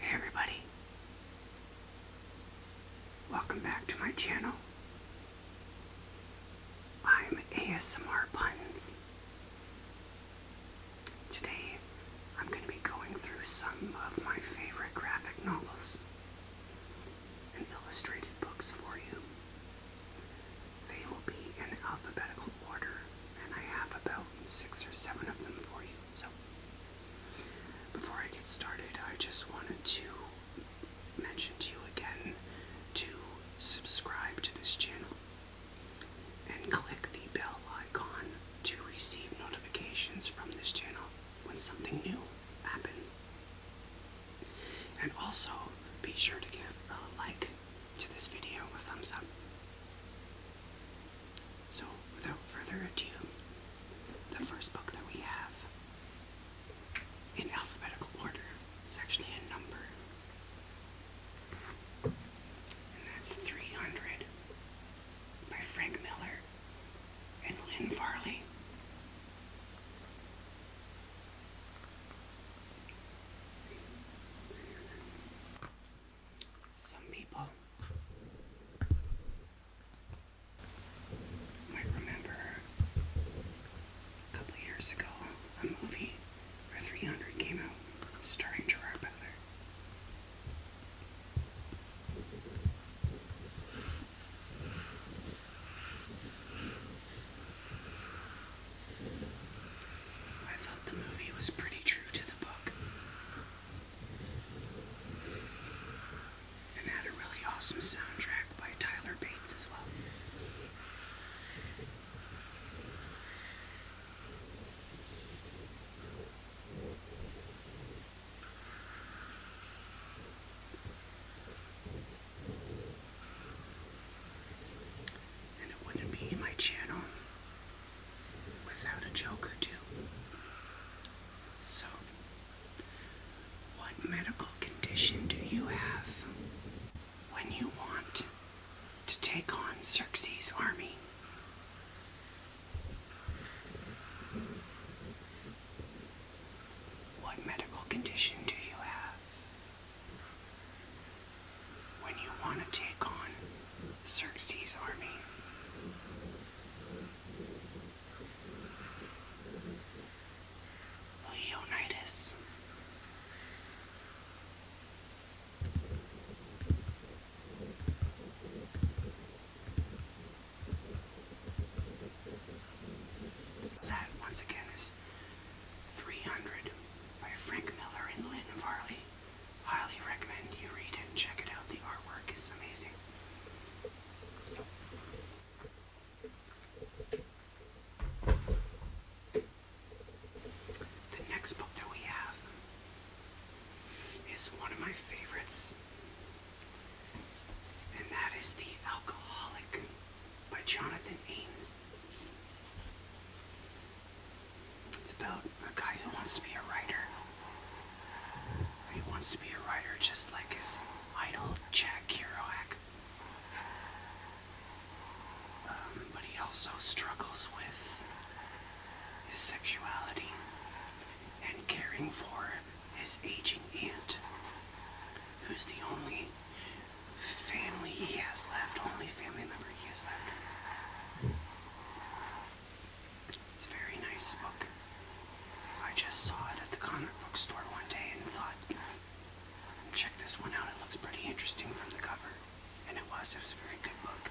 Hey everybody, welcome back to my channel. I'm ASMR Buns. Today I'm going to be going through some of my favorite graphic novels and illustrated books for you. They will be in alphabetical order, and I have about six or seven of them for you. So, before I get started, I just wanted to mention to you again to subscribe to this channel and click the bell icon to receive notifications from this channel when something new happens. And also, be sure to give a like to this video, a thumbs up. So, without further ado, the first book that we have in alphabetical order is actually a number. And that's 300 by Frank Miller and Lynn Farley some people might remember a couple years ago a movie where 300 came out starring Gerard Butler. I thought the movie was pretty true to the book. And had a really awesome soundtrack by Tyler Bates as well. And it wouldn't be my channel without a joker too. So, what medical condition do you have when you want to take on Xerxes' army? What medical condition do you have when you want to take on Xerxes' army? Well, That, once again, is 300 by Frank Miller and Lynn Varley highly recommend you read it and check it out. The artwork is amazing. The next book that we have is one of my favorites, and that is The Alcoholic by Jonathan Ames. It's about a guy who wants to be a writer. He wants to be a writer just like his idol, Jack Kerouac. Um, but he also struggles with his sexuality and caring for his aging aunt, who's the only family he has left, only family member he has left. It's a very nice book. I just saw it at the comic book store one day and thought, check this one out. It looks pretty interesting from the cover. And it was. It was a very good book.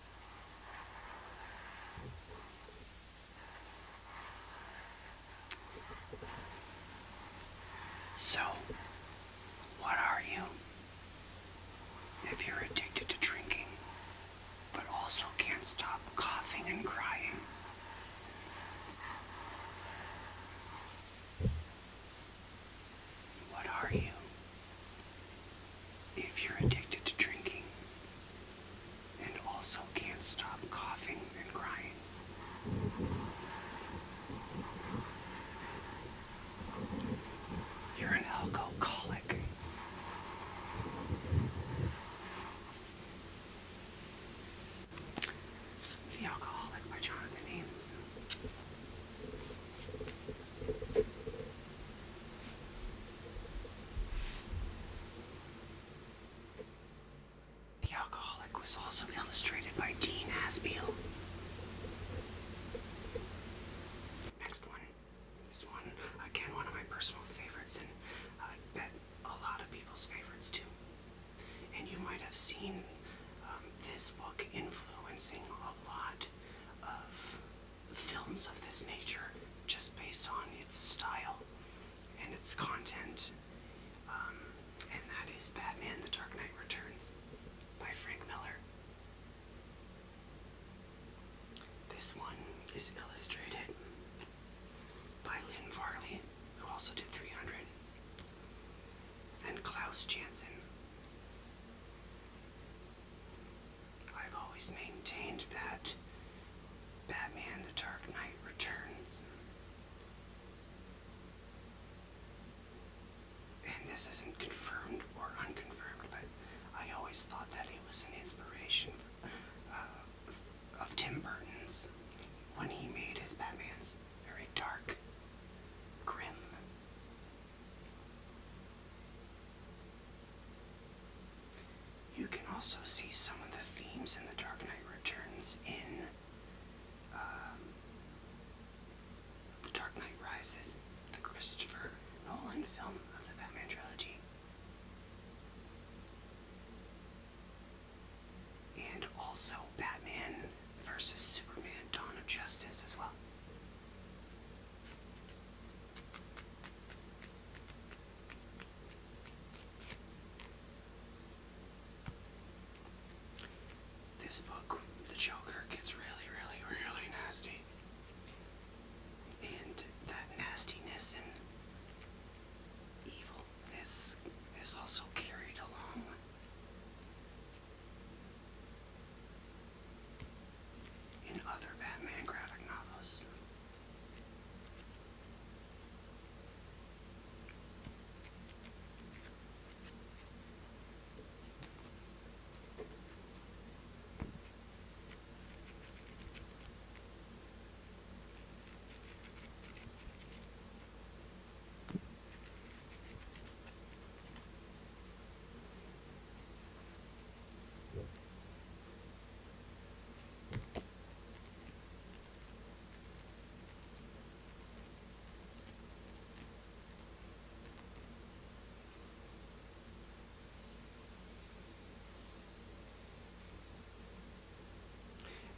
So, what are you? If you're addicted to drinking, but also can't stop coughing and crying, what are you? If you're addicted to drinking and also can't stop coughing and crying, you're an alcoholic. The Alcoholic by Jonathan Ames. The alcoholic was also illustrated by Gene Aspiel. Next one. This one, again, one of my personal favorites, and I bet a lot of people's favorites too. And you might have seen um, this book influencing a lot of films of this nature just based on its style and its content. Um, and that is Batman The Dark Knight Returns by Frank Miller. This one is illustrated by Lynn Varley, who also did 300, and Klaus Janson. I've always maintained that Batman The Dark Knight Returns. And this isn't confirmed or unconfirmed, but I always thought that it was an inspiration uh, of Tim Burton's when he made his Batmans very dark, grim, you can also see some of the themes in The Dark Knight Returns in um, The Dark Knight Rises, the Christopher Nolan film of the Batman trilogy. And also Batman versus Superman Dawn of Justice as well. This book, The Joker, gets really, really, really nasty. And that nastiness and evilness is also carried along in other Batman graphic novels.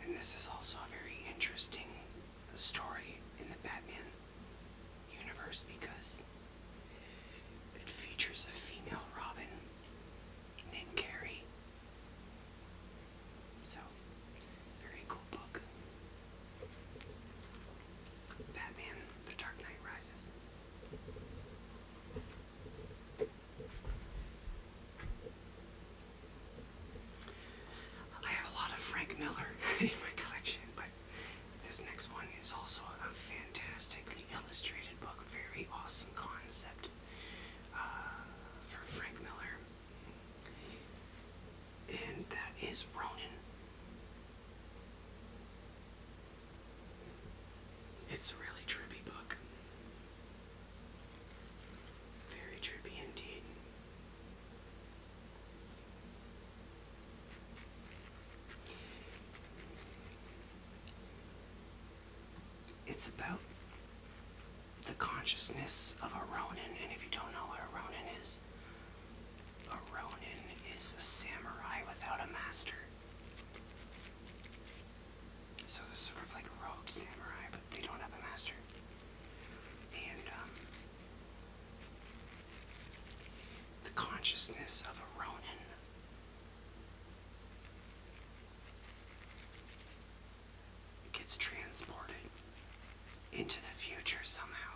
And this is also a very interesting story in the Batman universe because it features a female Robin named Carrie. So, very cool book. Batman, The Dark Knight Rises. I have a lot of Frank Miller in my collection, this next one is also a fantastically illustrated book, very awesome concept uh, for Frank Miller. And that is Ronin. It's a really trippy book. Very trippy indeed. It's about the consciousness of a Ronin, and if you don't know what a Ronin is, a Ronin is a samurai without a master. So they're sort of like rogue samurai, but they don't have a master. And um, the consciousness of a Ronin. gets transported into the future somehow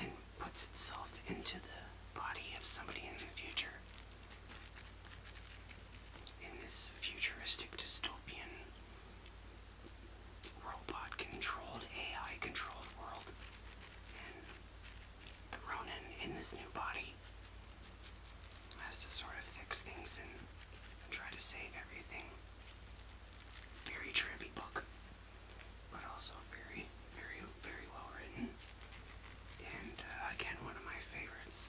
and puts itself into the body of somebody in the future. In this futuristic dystopian robot controlled, AI controlled world. And the Ronin in this new body has to sort of fix things and, try to save everything. Very trippy book, but also very, very, very well written. And uh, again, one of my favorites.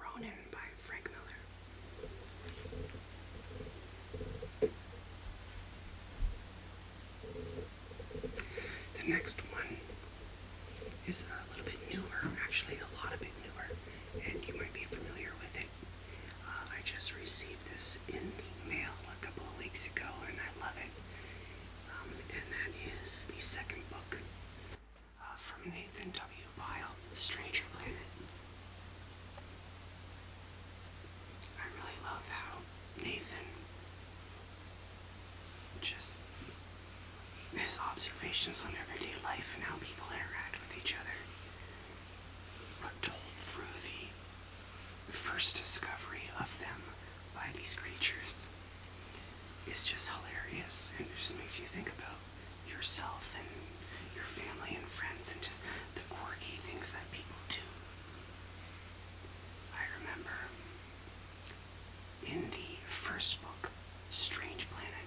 Ronin by Frank Miller. The next one is a little bit newer, actually a lot of bit newer, and you might be familiar with it. Uh, I just received this in the mail a couple of weeks ago and I love it. Um, and that is the second book uh, from Nathan W. Bile, Stranger Planet. I really love how Nathan just his observations on everyday life and how people interact with each other are told through the first discovery of them by these creatures is just hilarious and it just makes you think about yourself and your family and friends and just the quirky things that people do. I remember in the first book, Strange Planet,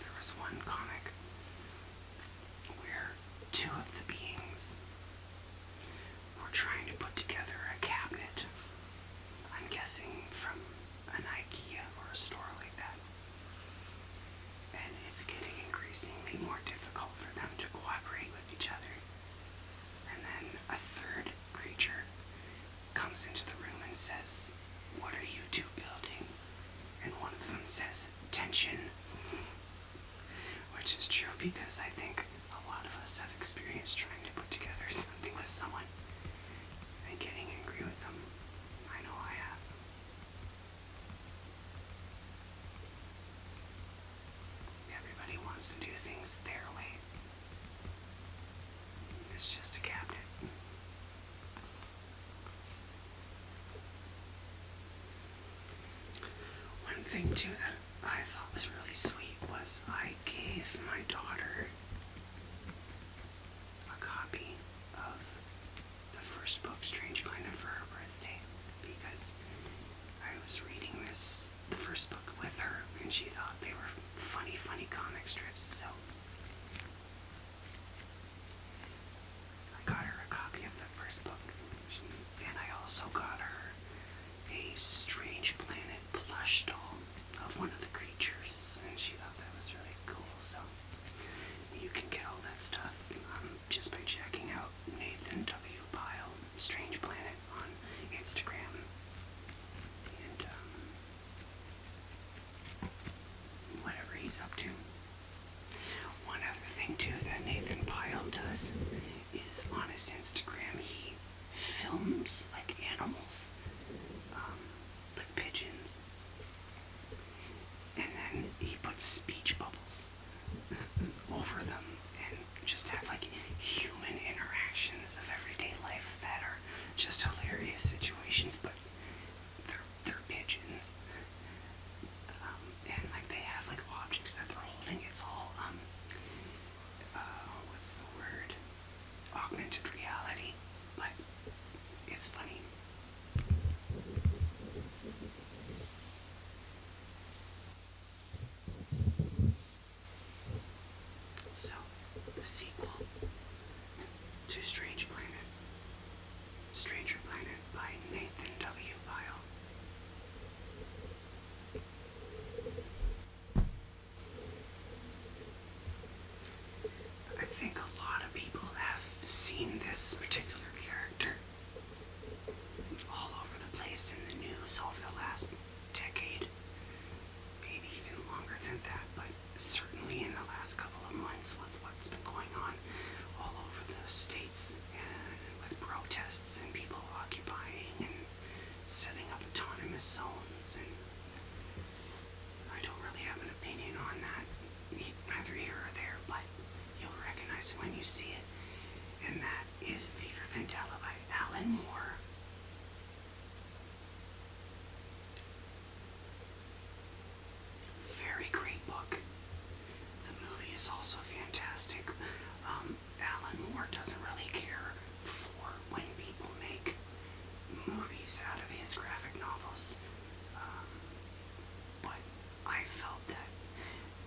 there was one comic where two of the beings We're trying to put together a cabinet. I'm guessing from an IKEA or a store like that. And it's getting increasingly more difficult for them to cooperate with each other. And then a third creature comes into the room and says, What are you two building? And one of them says, Tension. Which is true because I think a lot of us have experienced trying to put together something with someone and getting angry with them. I know I have. Everybody wants to do things their way. It's just a cabinet. One thing too that I thought was really sweet was I gave my daughter a copy of the first book, Strange Planet, for her birthday because I was reading this, the first book with her, and she thought they were funny, funny comic strips. So I got her a copy of the first book, and I also got her a Strange Planet plush doll of one of the creatures, and she thought that was really cool. So you can get all that stuff um, just by checking out Nathan W. Pyle Strange Planet on Instagram. And um, whatever he's up to. One other thing, too, that Nathan Pyle does is on his Instagram he films like animals, um, like pigeons, and then he puts speech bubbles over them and just have like human interactions of everyday life that are just hilarious situations, but they're their pigeons. Um, and like they have like objects that they're holding. It's all um uh, what's the word? Augmented reality. But it's funny. So the sequel to Strange Planet Stranger Planet by Nathan W. Pyle. I think a lot of people have seen this particular character all over the place in the news over the last decade, maybe even longer than that, but certainly in the last couple of months with what's been going on all over the states and with protests and people occupying and setting up autonomous zones and I don't really have an opinion on that neither here or there but you'll recognize it when you see it and that is Fever Vendetta by Alan Moore. Very great book. The movie is also fantastic. Um, Alan Moore doesn't really care for when people make movies out of his graphic novels. Um, but I felt that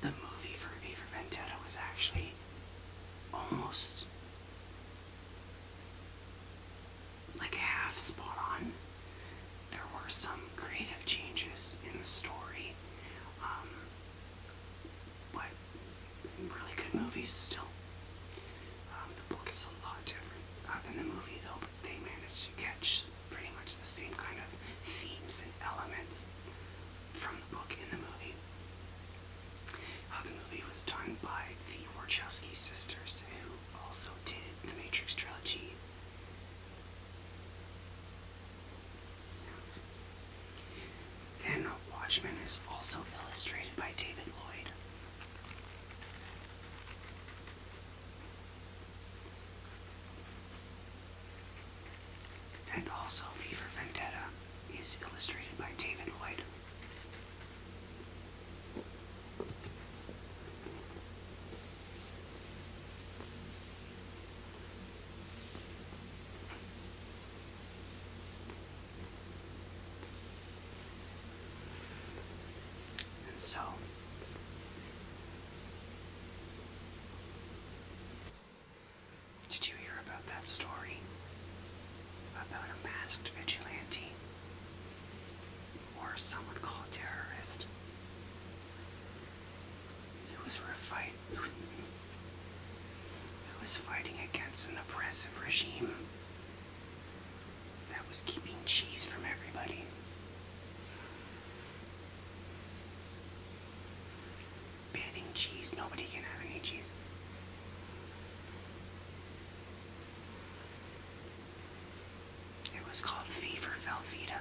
the movie for V for Vendetta was actually almost like half spot on there were some creative changes in the story, but um, really good movies still. Um, the book is a lot different uh, than the movie, though, but they managed to catch pretty much the same kind of themes and elements from the book in the movie. the movie was done by the Wachowski sisters, who also did the Matrix trilogy. Then Watchmen is also illustrated by David Lloyd. And also V for Vendetta is illustrated by David Lloyd. And so did you hear about that story about a masked vigilante or someone called terrorist it was a fight. It was fighting against an oppressive regime that was keeping cheese from everybody. Banning cheese. Nobody can have any cheese. It was called Fever Velveeta.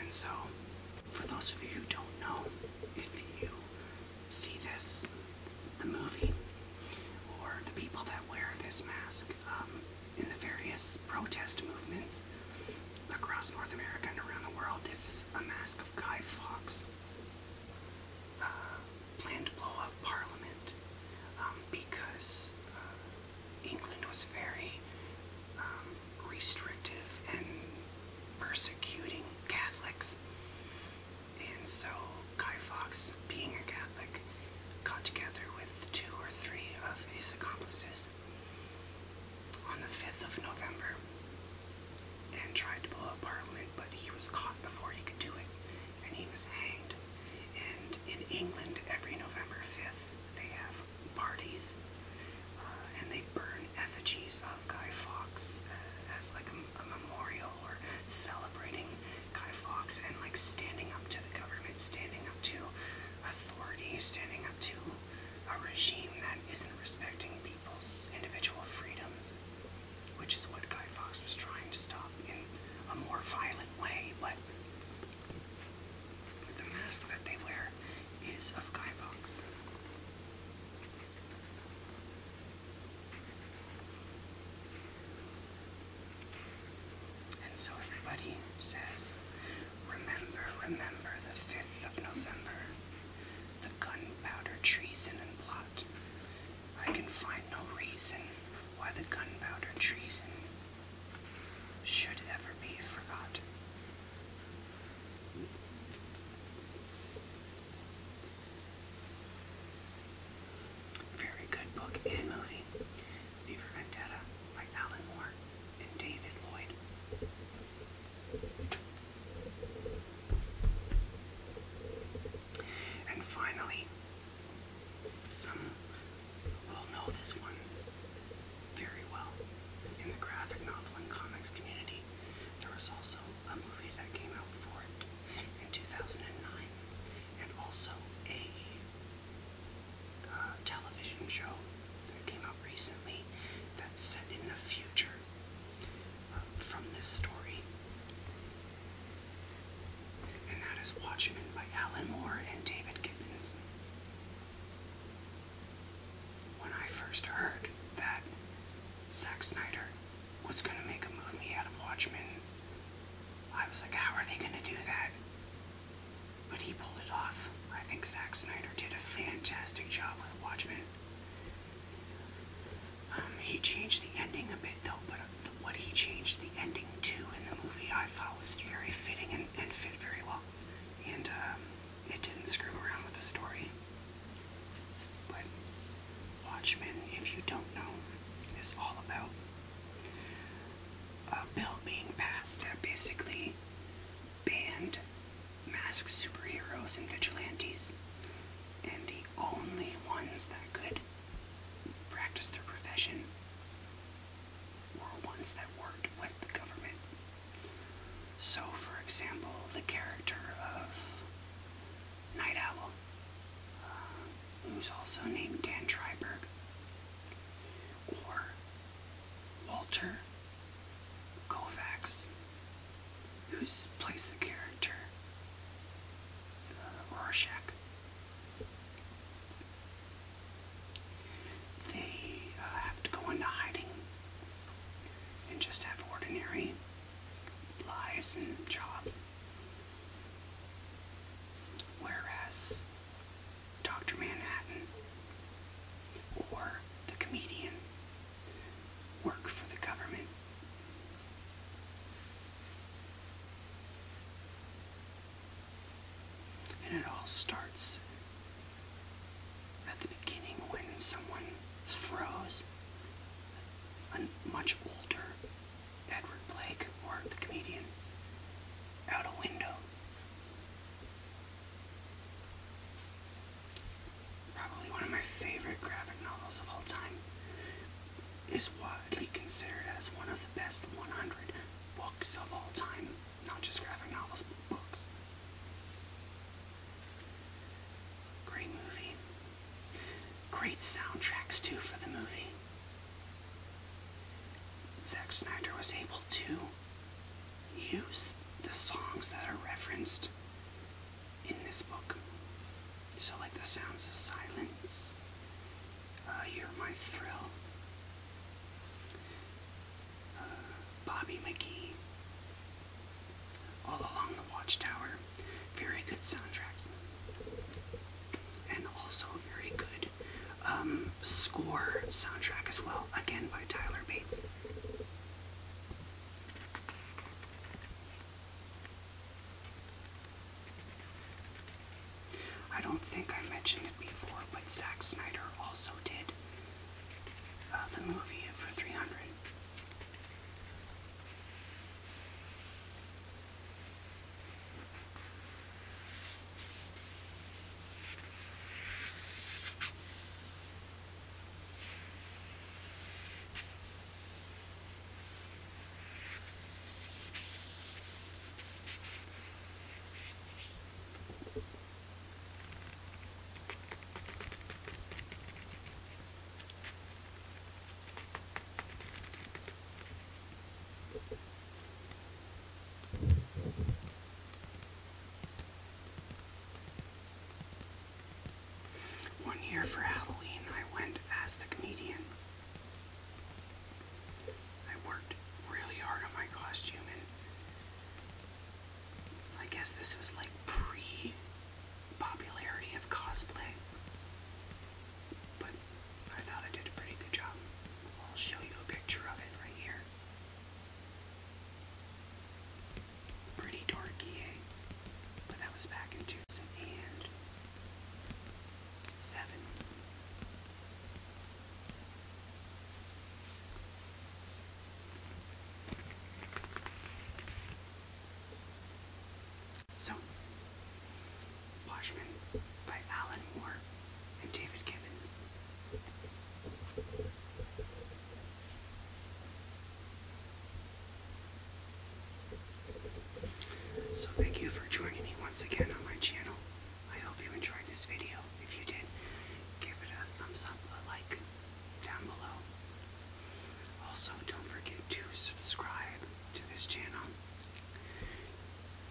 And so, for those of you who don't know, if you see this, the movie, or the people that wear this mask um, in the various protest movements across North America and around the world, this is a mask of Guy Fawkes uh, plan to blow up Parliament um, because uh, England was very um, restrictive and persecuting Catholics. And so Guy Fawkes, being a Catholic, got together with two or three of his accomplices on the 5th of November and tried to blow up Parliament, but he was caught before he could do it and he was hanged. And in England, every November 5th, they have parties, uh, and they burn effigies of Guy Fawkes uh, as like a, a memorial or celebrating Guy Fawkes and like standing up to the government, standing up to authority, standing up to a regime that isn't respecting people's individual freedoms which is what Guy Fox was trying to stop in a more violent way, but the mask that they wear is of Guy Fox. And so everybody says, Remember, remember the 5th of November, the gunpowder treason and plot. I can find no reason why the gunpowder treason should ever be forgot. Very good book and movie. V Vendetta by Alan Moore and David Lloyd. And finally, some will know this one very well. In the graphic novel and comics community, there was also a movie that came out for it in 2009, and also a uh, television show that came out recently that's set in the future uh, from this story. And that is Watchmen by Alan Moore and David Gibbons. When I first heard that Zack Snyder was going to make a movie out of Watchmen, I was like, how are they going to do that? But he pulled it off. I think Zack Snyder did a fantastic job with Watchmen. Um, he changed the ending a bit though, what he changed the ending to in the movie I thought was very fitting and, fit very well. And um, it didn't screw around with the story. But Watchmen, if you don't know, is all about a bill being passed that basically banned masked superheroes and vigilantes. And the only ones that could practice their profession or ones that work with the government. So, for example, the character of Night Owl, uh, who's also named Dan Treiberg, or Walter Kovacs, who's plays the character uh, Rorschach they uh, have to go into hiding and just have ordinary lives and jobs. Whereas Dr. Manhattan or the comedian work for the government and it all starts at the beginning when someone throws a much older Edward Blake, or the comedian, out a window. Probably one of my favorite graphic novels of all time is widely considered as one of the best 100 books of all time, not just graphic novels, but books. Great movie. Great soundtracks, too, for the movie. Zack Snyder was able to use the songs that are referenced in this book. So, like the sounds of silence uh, You're My Thrill. Uh, Bobby McGee. All Along the Watchtower. Very good soundtracks. And also very good um, score soundtrack as well. Again by Tyler Bates. I don't think I mentioned it before, but Zack Snyder also did uh, the movie for 300. One year for Halloween, I went as the comedian I worked really hard on my costume, and I guess this was like pre popularity of cosplay. But I thought I did a pretty good job. I'll show you a picture of it right here. Pretty dorky, eh? But that was back in 2000 and seven. So, Watchmen by Alan Moore and David Gibbons. So thank you for joining me once again on my channel. I hope you enjoyed this video. If you did, give it a thumbs up, a like down below. Also, don't forget to subscribe to this channel.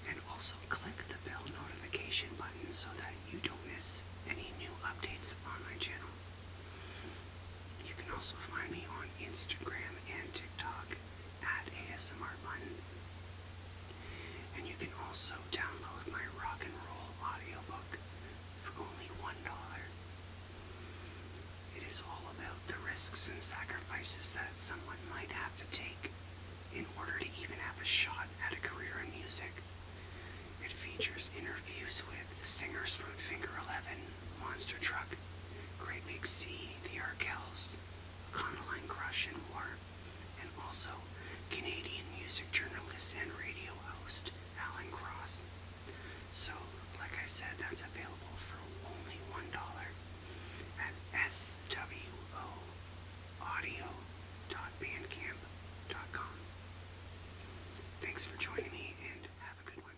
And also click the bell notification button so that you don't miss any new updates on my channel. You can also find me on Instagram and TikTok at ASMR Buns. And you can also download my rock and roll audiobook for only $1. It is all about the risks and sacrifices that someone might have to take in order to even have a shot at a career in music. It features interviews with the singers from Finger Eleven, Monster Truck, Great Big C, The Arkells, Conaline Crush and more, and also Canadian music journalist and radio host Alan Cross. So, like I said, that's available for only $1 at com. Thanks for joining me and have a good one.